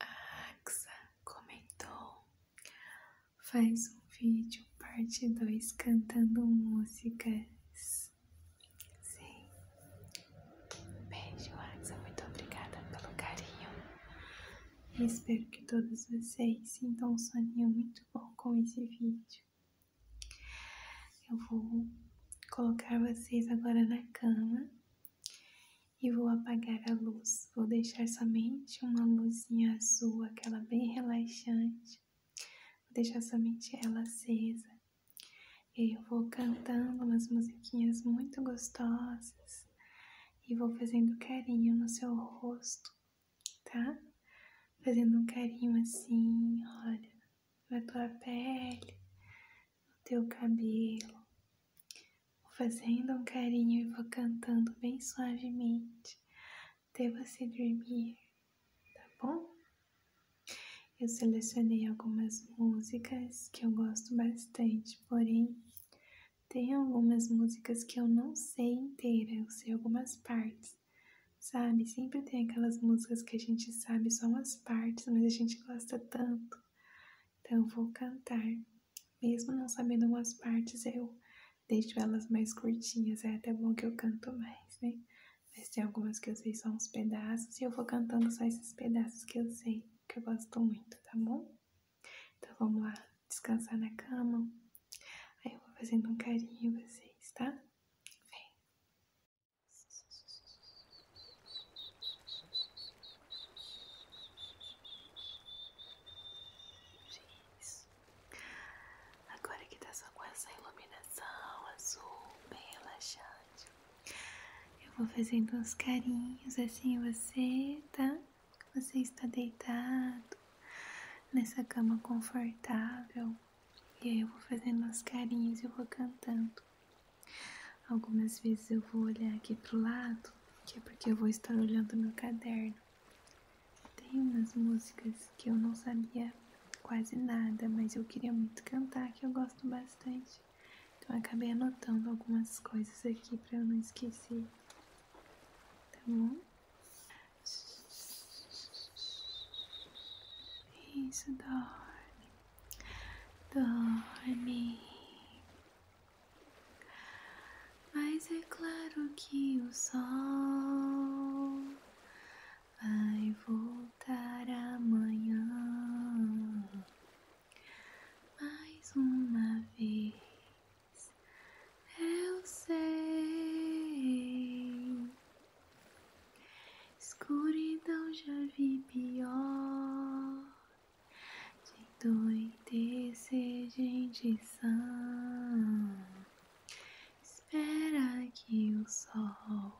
A Axa comentou: faz um vídeo parte 2 cantando músicas. Sim. Beijo, Axa. Muito obrigada pelo carinho. espero que todos vocês sintam um soninho muito bom com esse vídeo. Eu vou colocar vocês agora na cama e vou apagar a luz. Vou deixar somente uma luzinha azul, aquela bem relaxante. Vou deixar somente ela acesa. E eu vou cantando umas musiquinhas muito gostosas e vou fazendo carinho no seu rosto, tá? Fazendo um carinho assim, olha, na tua pele, no teu cabelo. Vou fazendo um carinho e vou cantando bem suavemente até você dormir, tá bom? Eu selecionei algumas músicas que eu gosto bastante, porém tem algumas músicas que eu não sei inteira, eu sei algumas partes sabe? Sempre tem aquelas músicas que a gente sabe só umas partes, mas a gente gosta tanto. Então, vou cantar. Mesmo não sabendo umas partes, eu deixo elas mais curtinhas. É até bom que eu canto mais, né? Mas tem algumas que eu sei só uns pedaços e eu vou cantando só esses pedaços que eu sei, que eu gosto muito, tá bom? Então vamos lá, descansar na cama. Aí eu vou fazendo um carinho em vocês, tá? Vem. Isso. Agora que tá só com essa iluminação azul, bem relaxante, eu vou fazendo uns carinhos assim você, tá? Você está deitado nessa cama confortável, e aí eu vou fazendo os carinhos e eu vou cantando. Algumas vezes eu vou olhar aqui pro lado, que é porque eu vou estar olhando meu caderno. Tem umas músicas que eu não sabia quase nada, mas eu queria muito cantar, que eu gosto bastante. Então acabei anotando algumas coisas aqui para eu não esquecer. Tá bom? Isso, dorme. Dorme. Mas é claro que o sol vai voltar amanhã mais uma vez. Eu sei, Escuridão já vi pior. De doidecer, gente sã. Espera que o sol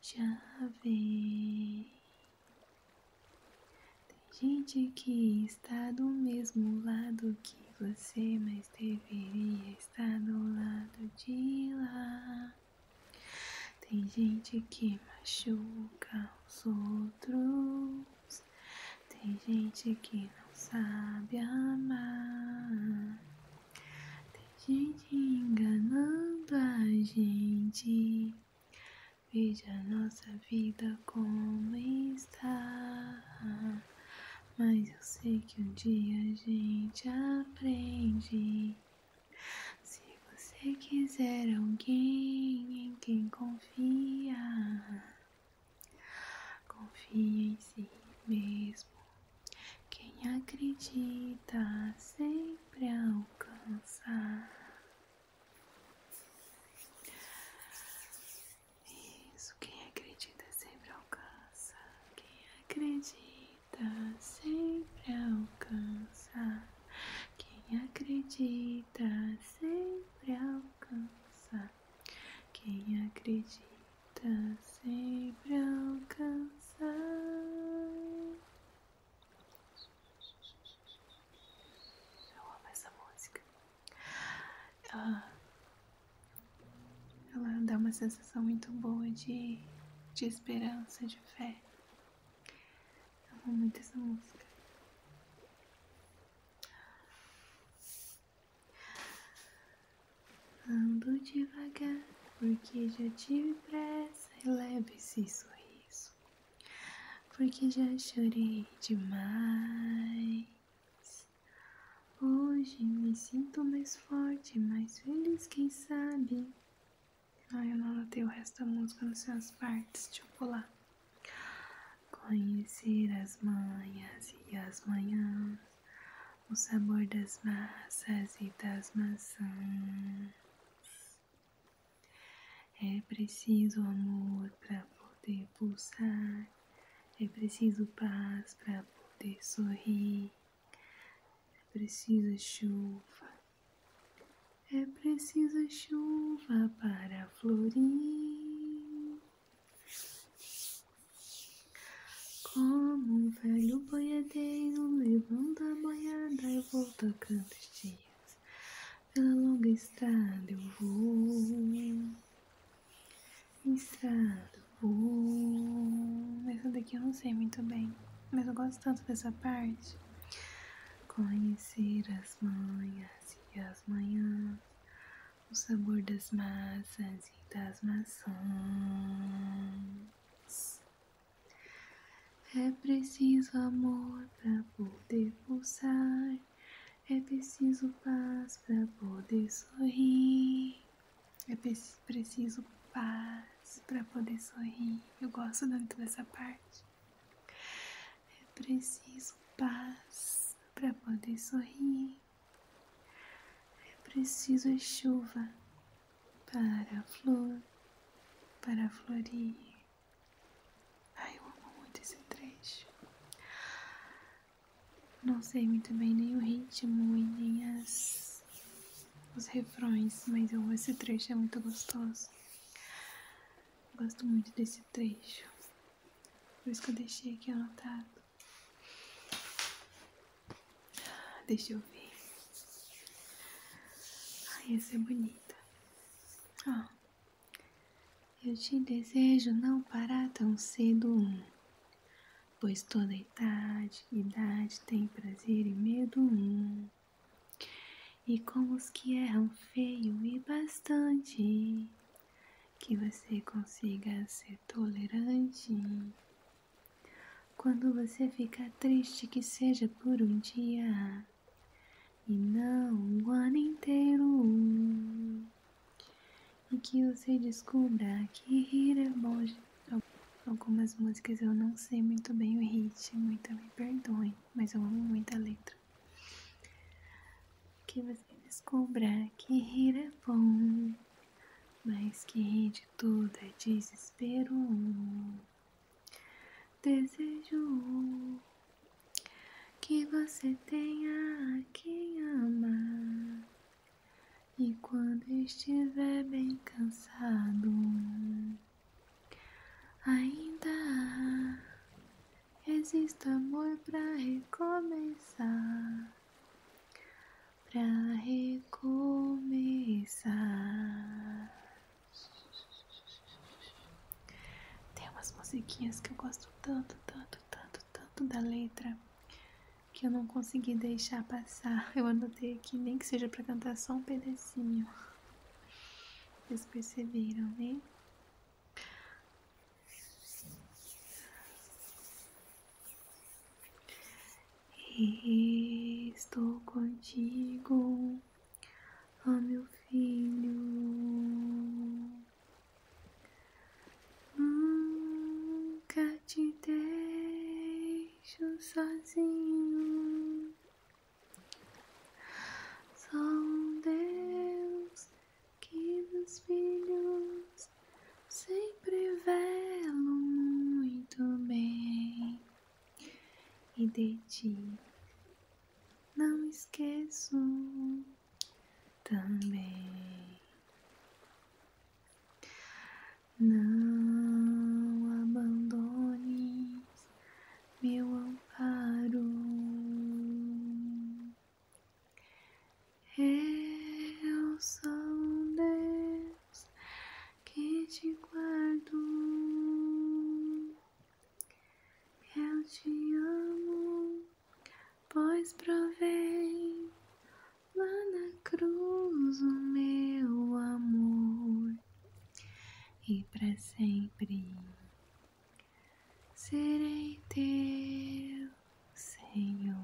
já vem. Tem gente que está do mesmo lado que você, mas deveria estar do lado de lá. Tem gente que machuca os outros. Tem gente que não sabe amar. Tem gente enganando a gente. Veja a nossa vida como está. Mas eu sei que um dia a gente aprende. Se você quiser alguém em quem confia, confia em si mesmo. Quem acredita sempre alcança. Isso, quem acredita sempre alcança. Quem acredita acredita sempre alcança. Quem acredita sempre alcança. Quem acredita sempre alcança. Eu amo essa música. Ah, ela dá uma sensação muito boa de, de esperança, de fé. Eu amo muito essa música. Ando devagar, porque já tive pressa e leve esse sorriso, porque já chorei demais. Hoje me sinto mais forte, mais feliz, quem sabe? Ah, eu não notei o resto da música nas suas partes, deixa eu pular. Conhecer as manhas e as manhãs, o sabor das massas e das maçãs. É preciso amor para poder pulsar, é preciso paz para poder sorrir. É preciso chuva, é preciso chuva para florir. Como um velho boiadeiro levando a boiada, eu vou tocando os dias. Pela longa estrada eu vou. Estrada Uh, essa daqui eu não sei muito bem, mas eu gosto tanto dessa parte. Conhecer as manhas e as manhãs, o sabor das massas e das maçãs. É preciso amor para poder pulsar, é preciso paz para poder sorrir. É preciso paz para poder sorrir. Eu gosto muito dessa parte. É preciso paz para poder sorrir. É preciso chuva para a flor, para florir. Ai, eu amo muito esse trecho. Não sei muito bem nem o ritmo e nem as os refrões, mas eu, esse trecho é muito gostoso. gosto muito desse trecho. Por isso que eu deixei aqui anotado. Ah, deixa eu ver. Ai, ah, essa é bonita. eu te desejo não parar tão cedo pois toda idade, idade tem prazer e medo um. E com os que erram feio e bastante, que você consiga ser tolerante. Quando você ficar triste, que seja por um dia e não um ano inteiro. E que você descubra que rir é bom de Algumas músicas eu não sei muito bem o ritmo, então me perdoem, mas eu amo muito a letra. Que você descubra que rir é bom, mas que rir de tudo é desespero. Desejo que você tenha quem amar e quando estiver bem cansado, ainda há, existe amor pra recomeçar, pra recomeçar. Tem umas musiquinhas que eu gosto tanto, tanto, tanto, tanto da letra que eu não consegui deixar passar. Eu anotei aqui, nem que seja para cantar só um pedacinho. Vocês perceberam, né? Estou contigo, oh meu filho. Nunca te dei deixam sozinho. Só Deus que dos filhos sempre velo muito bem e de ti não esqueço também. Não abandones meu amparo. Eu sou Deus que te guardo. Eu te amo, pois provém lá na cruz, o meu amor, e para sempre serei teu, Senhor.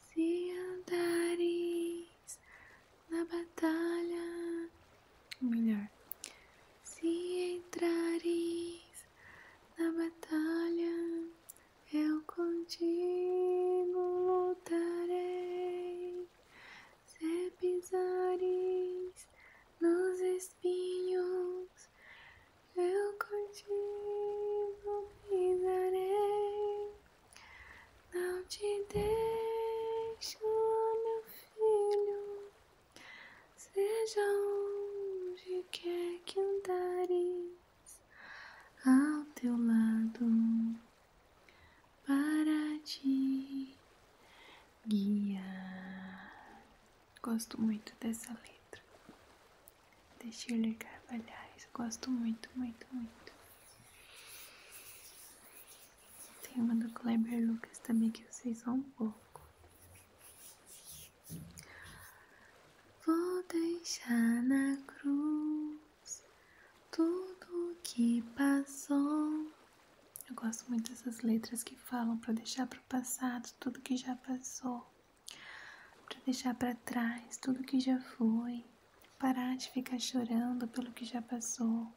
Se andares na batalha, melhor, se entrares na batalha, eu contigo lutarei, se pisares nos espinhos, eu contigo pisarei, não te deixo, meu filho, seja onde quer que andares ao teu lado para te guiar. Gosto muito dessa letra. De Shirley Carvalhais. Gosto muito, muito, muito. Tem uma do Kleber Lucas também que vocês vão um pouco. Vou deixar na cruz tudo que passou. Eu gosto muito dessas letras que falam para deixar para o passado tudo que já passou, para deixar para trás tudo que já foi, parar de ficar chorando pelo que já passou,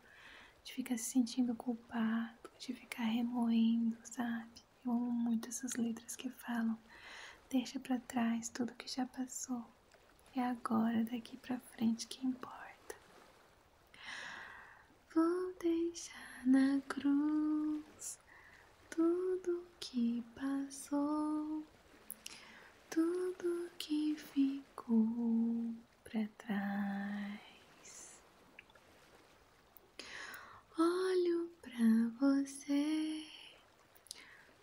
de ficar se sentindo culpado, de ficar remoendo, sabe? Eu amo muito essas letras que falam Deixa para trás tudo que já passou. É agora, daqui para frente que importa. Vou deixar na cruz tudo que passou, tudo que ficou para trás. Olho para você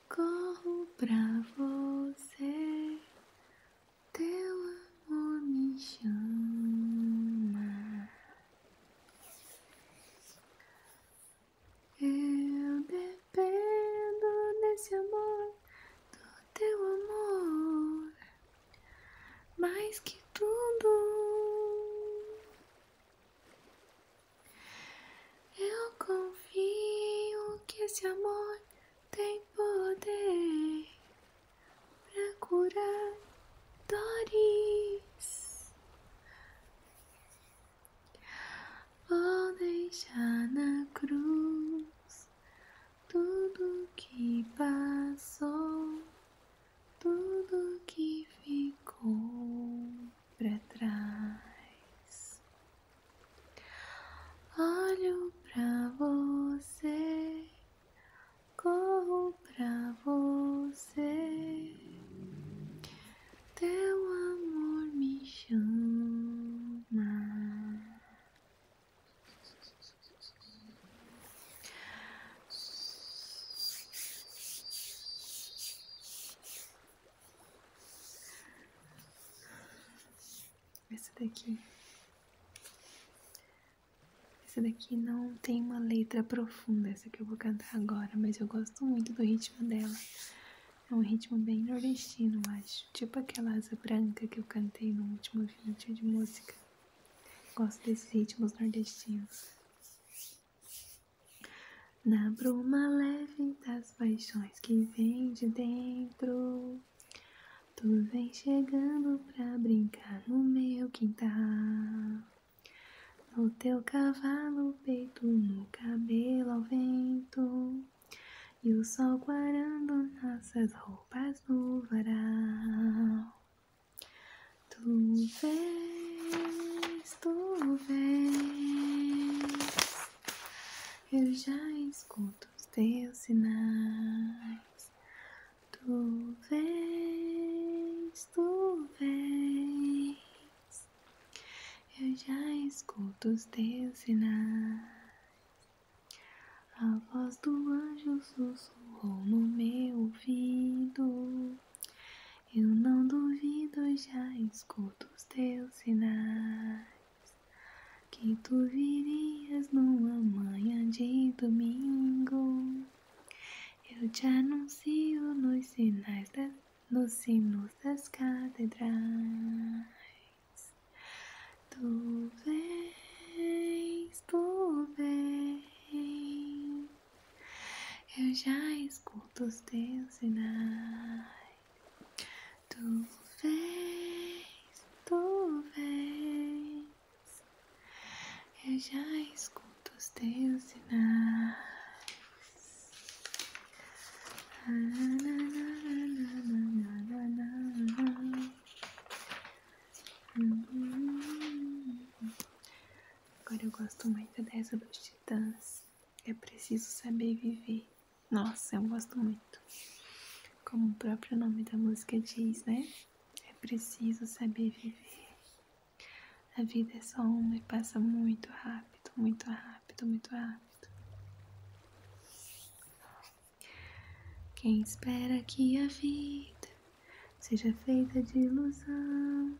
Corro pra você, teu amor me chama. Eu dependo desse amor, do teu amor, mais que tudo. Eu confio que esse amor tem poder pra curar dores. Vou deixar na cruz tudo que passou, tudo que ficou pra trás. Olho pra você, corro pra você. Teu amor me chama. Essa daqui. Essa daqui não tem uma letra profunda, essa que eu vou cantar agora, mas eu gosto muito do ritmo dela. É um ritmo bem nordestino, acho. Tipo aquela asa branca que eu cantei no último vídeo de música. Gosto desses ritmos nordestinos. Na bruma leve das paixões que vem de dentro, tu vem chegando pra brincar no meu quintal. No teu cavalo, peito no cabelo ao vento, e o sol guardando nossas roupas no varal. Tu vês, tu vês. Eu já escuto os teus sinais. Tu vens, tu vens. Eu já escuto os teus sinais. A voz do anjo sussurrou no meu ouvido. Eu não duvido, já escuto os teus sinais Que tu virias numa manhã de domingo Eu te anuncio nos sinais das, nos sinos das catedrais Tu vens, tu vens Eu já escuto os teus sinais Tu vês, tu vês, eu já escuto os teus sinais. Ah, na, na, na, hum, agora eu gosto muito dessa dos titãs. É preciso saber viver. Nossa, eu gosto muito. Como o próprio nome da música diz, né? É preciso saber viver. A vida é só uma e passa muito rápido, muito rápido, muito rápido. Quem espera que a vida seja feita de ilusão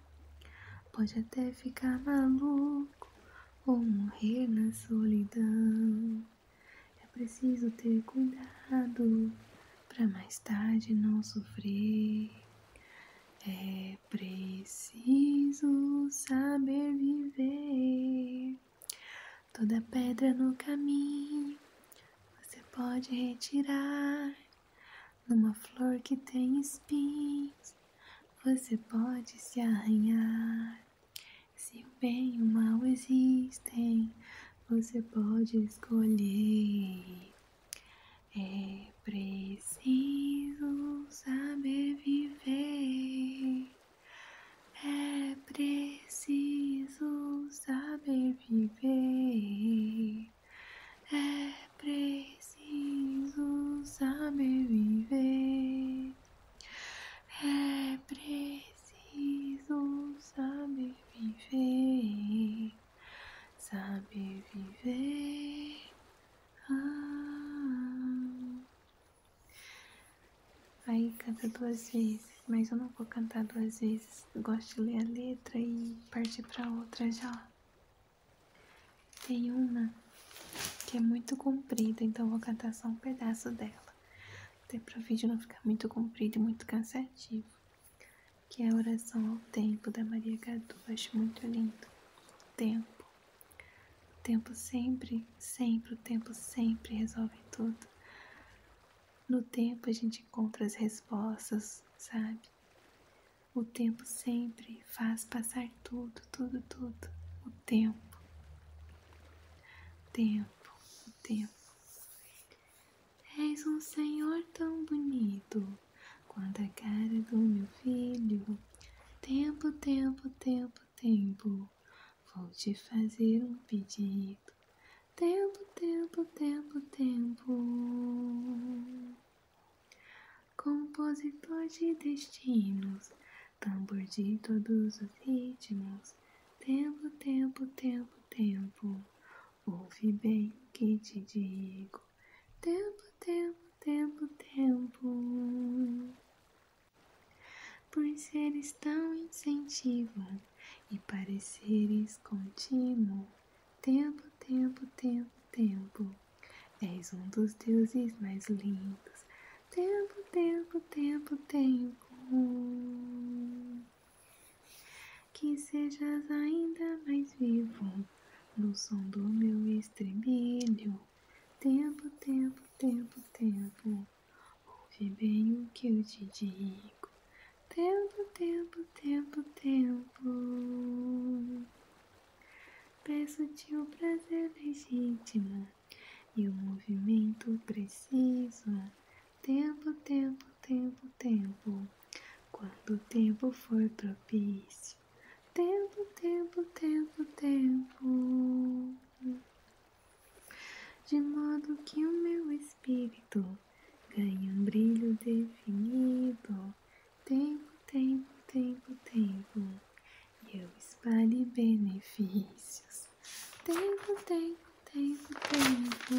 pode até ficar maluco, ou morrer na solidão. É preciso ter cuidado para mais tarde não sofrer. É preciso saber viver. Toda pedra no caminho você pode retirar. Numa flor que tem espinhos, você pode se arranhar. Se o bem e o mal existem, você pode escolher. É preciso saber viver. É preciso saber viver. É preciso saber viver. É preciso saber viver, saber viver. Ah. Aí canta duas vezes, mas eu não vou cantar duas vezes. gosto de ler a letra e partir para outra já. Tem uma que é muito comprida, então vou cantar só um pedaço dela. Até para o vídeo não ficar muito comprido e muito cansativo. Que é a oração ao tempo da Maria Gadu. Acho muito lindo. Tempo. O tempo sempre, sempre, o tempo sempre resolve tudo. No tempo a gente encontra as respostas, sabe? O tempo sempre, faz passar tudo, tudo, tudo. O tempo. tempo, tempo. És um Senhor tão bonito quanto a cara do meu filho. Tempo, tempo, tempo, tempo. Vou te fazer um pedido. Tempo, tempo, tempo, tempo compositor de destinos, tambor de todos os ritmos. Tempo, tempo, tempo, tempo, ouve bem que te digo. Tempo, tempo, tempo, tempo. Por seres tão incentivos e pareceres contínuos, Tempo, tempo, tempo, tempo És um dos deuses mais lindos. Tempo, tempo, tempo, tempo. Que sejas ainda mais vivo no som do meu estribilho. Tempo, tempo, tempo, tempo. Ouve bem o que eu te digo. Tempo, tempo, tempo, tempo. Peço-te o prazer legítimo e o movimento precisa tempo, tempo, tempo, tempo. Quando o tempo for propício. Tempo, tempo, tempo, tempo. De modo que o meu espírito ganhe um brilho definido. Tempo, tempo, tempo, tempo e eu espalhe benefícios. Tempo, tempo, tempo, tempo.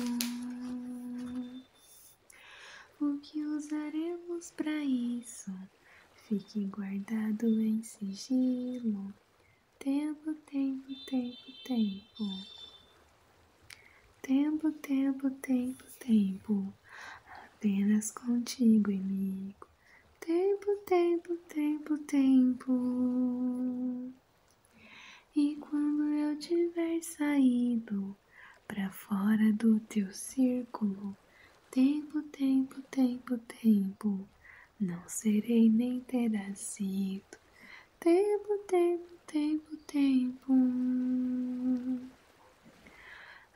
O que usaremos para isso? Fique guardado em sigilo. Tempo, tempo, tempo, tempo. Tempo, tempo, tempo, tempo. Apenas contigo, amigo tempo, tempo, tempo, tempo. E quando eu tiver saído para fora do teu círculo, tempo, tempo, tempo, tempo, não serei nem terá sido. Tempo, tempo, tempo, tempo.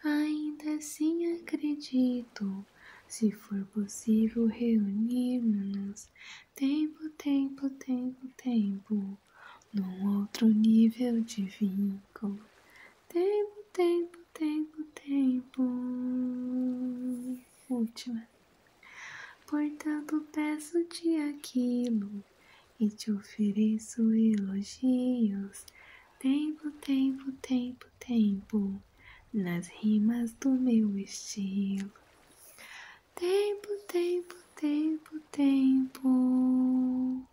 Ainda assim acredito se for possível, reunimos-nos. Tempo, tempo, tempo, tempo, num outro nível de vínculo. Tempo, tempo, tempo, tempo. Última. Portanto, peço-te aquilo e te ofereço elogios. Tempo, tempo, tempo, tempo nas rimas do meu estilo. Tempo, tempo, tempo, tempo.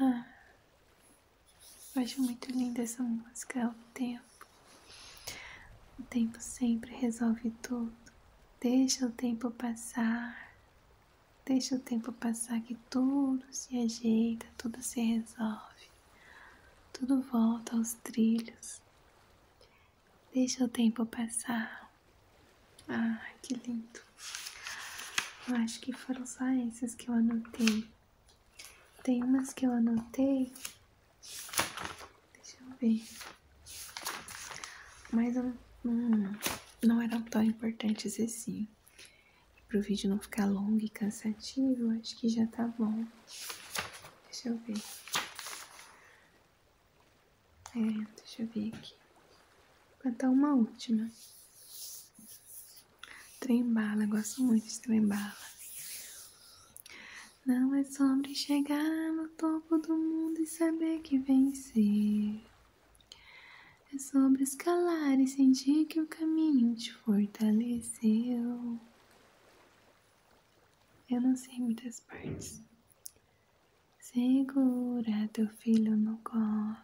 Ah, eu acho muito linda essa música, é o tempo. O tempo sempre resolve tudo. Deixa o tempo passar. Deixa o tempo passar que tudo se ajeita, tudo se resolve. Tudo volta aos trilhos. Deixa o tempo passar. Ah, que lindo. acho que foram só essas que eu anotei. Tem umas que eu anotei. Deixa eu ver. Mas não eram tão importantes assim. Para o vídeo não ficar longo e cansativo, acho que já tá bom. Deixa eu ver. É, deixa eu ver aqui. Vou cantar uma última. Trembala, gosto muito de trembala. Não é sobre chegar no topo do mundo e saber que vencer. É sobre escalar e sentir que o caminho te fortaleceu. Eu não sei muitas partes. Segura teu filho no colo,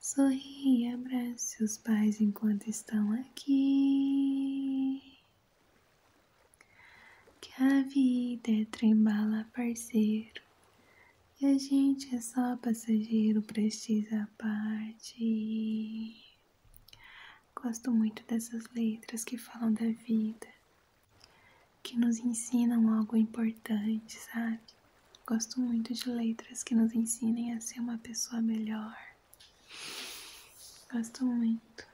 sorri e abraça os pais enquanto estão aqui. Que a vida é trembala, parceiro, e a gente é só passageiro, precisa partir. Gosto muito dessas letras que falam da vida, que nos ensinam algo importante, sabe? Gosto muito de letras que nos ensinem a ser uma pessoa melhor. Gosto muito.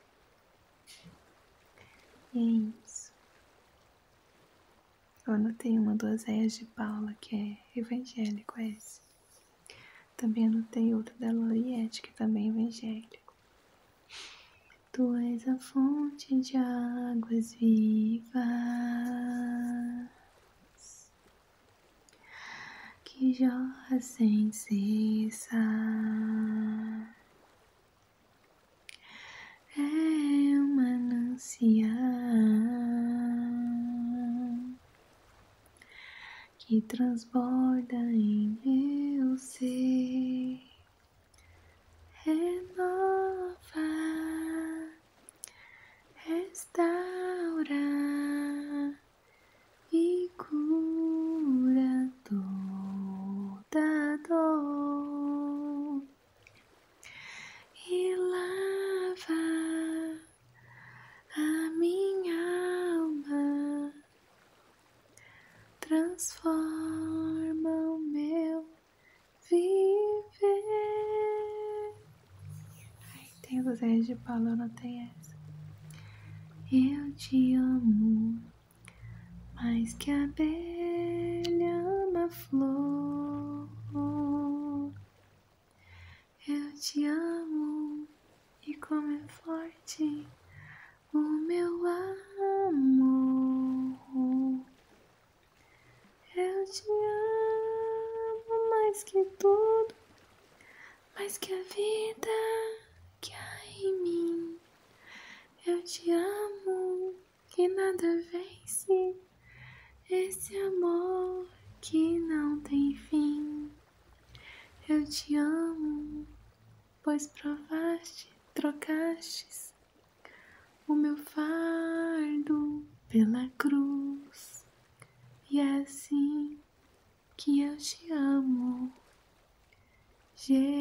E é isso. Eu anotei uma duas réias de Paula, que é evangélico é esse. Também anotei outra da Loriette, que também é evangélico. Tu és a fonte de águas vivas que jorra sem cessar. É uma manancial que transborda em meu ser, renova, restaura e cura toda dor e lava a minha alma, transforma o meu viver. Ai, tem Luzéia de Paula, eu anotei essa. Eu te amo mais que a abelha ama a flor. Eu te amo e como é forte o meu amor. Eu te amo mais que tudo, mais que a vida que há em mim. Eu te amo que nada vence esse amor que não tem fim. Eu te amo, pois provaste, trocastes o meu fardo pela cruz, e é assim que eu te amo, Jesus.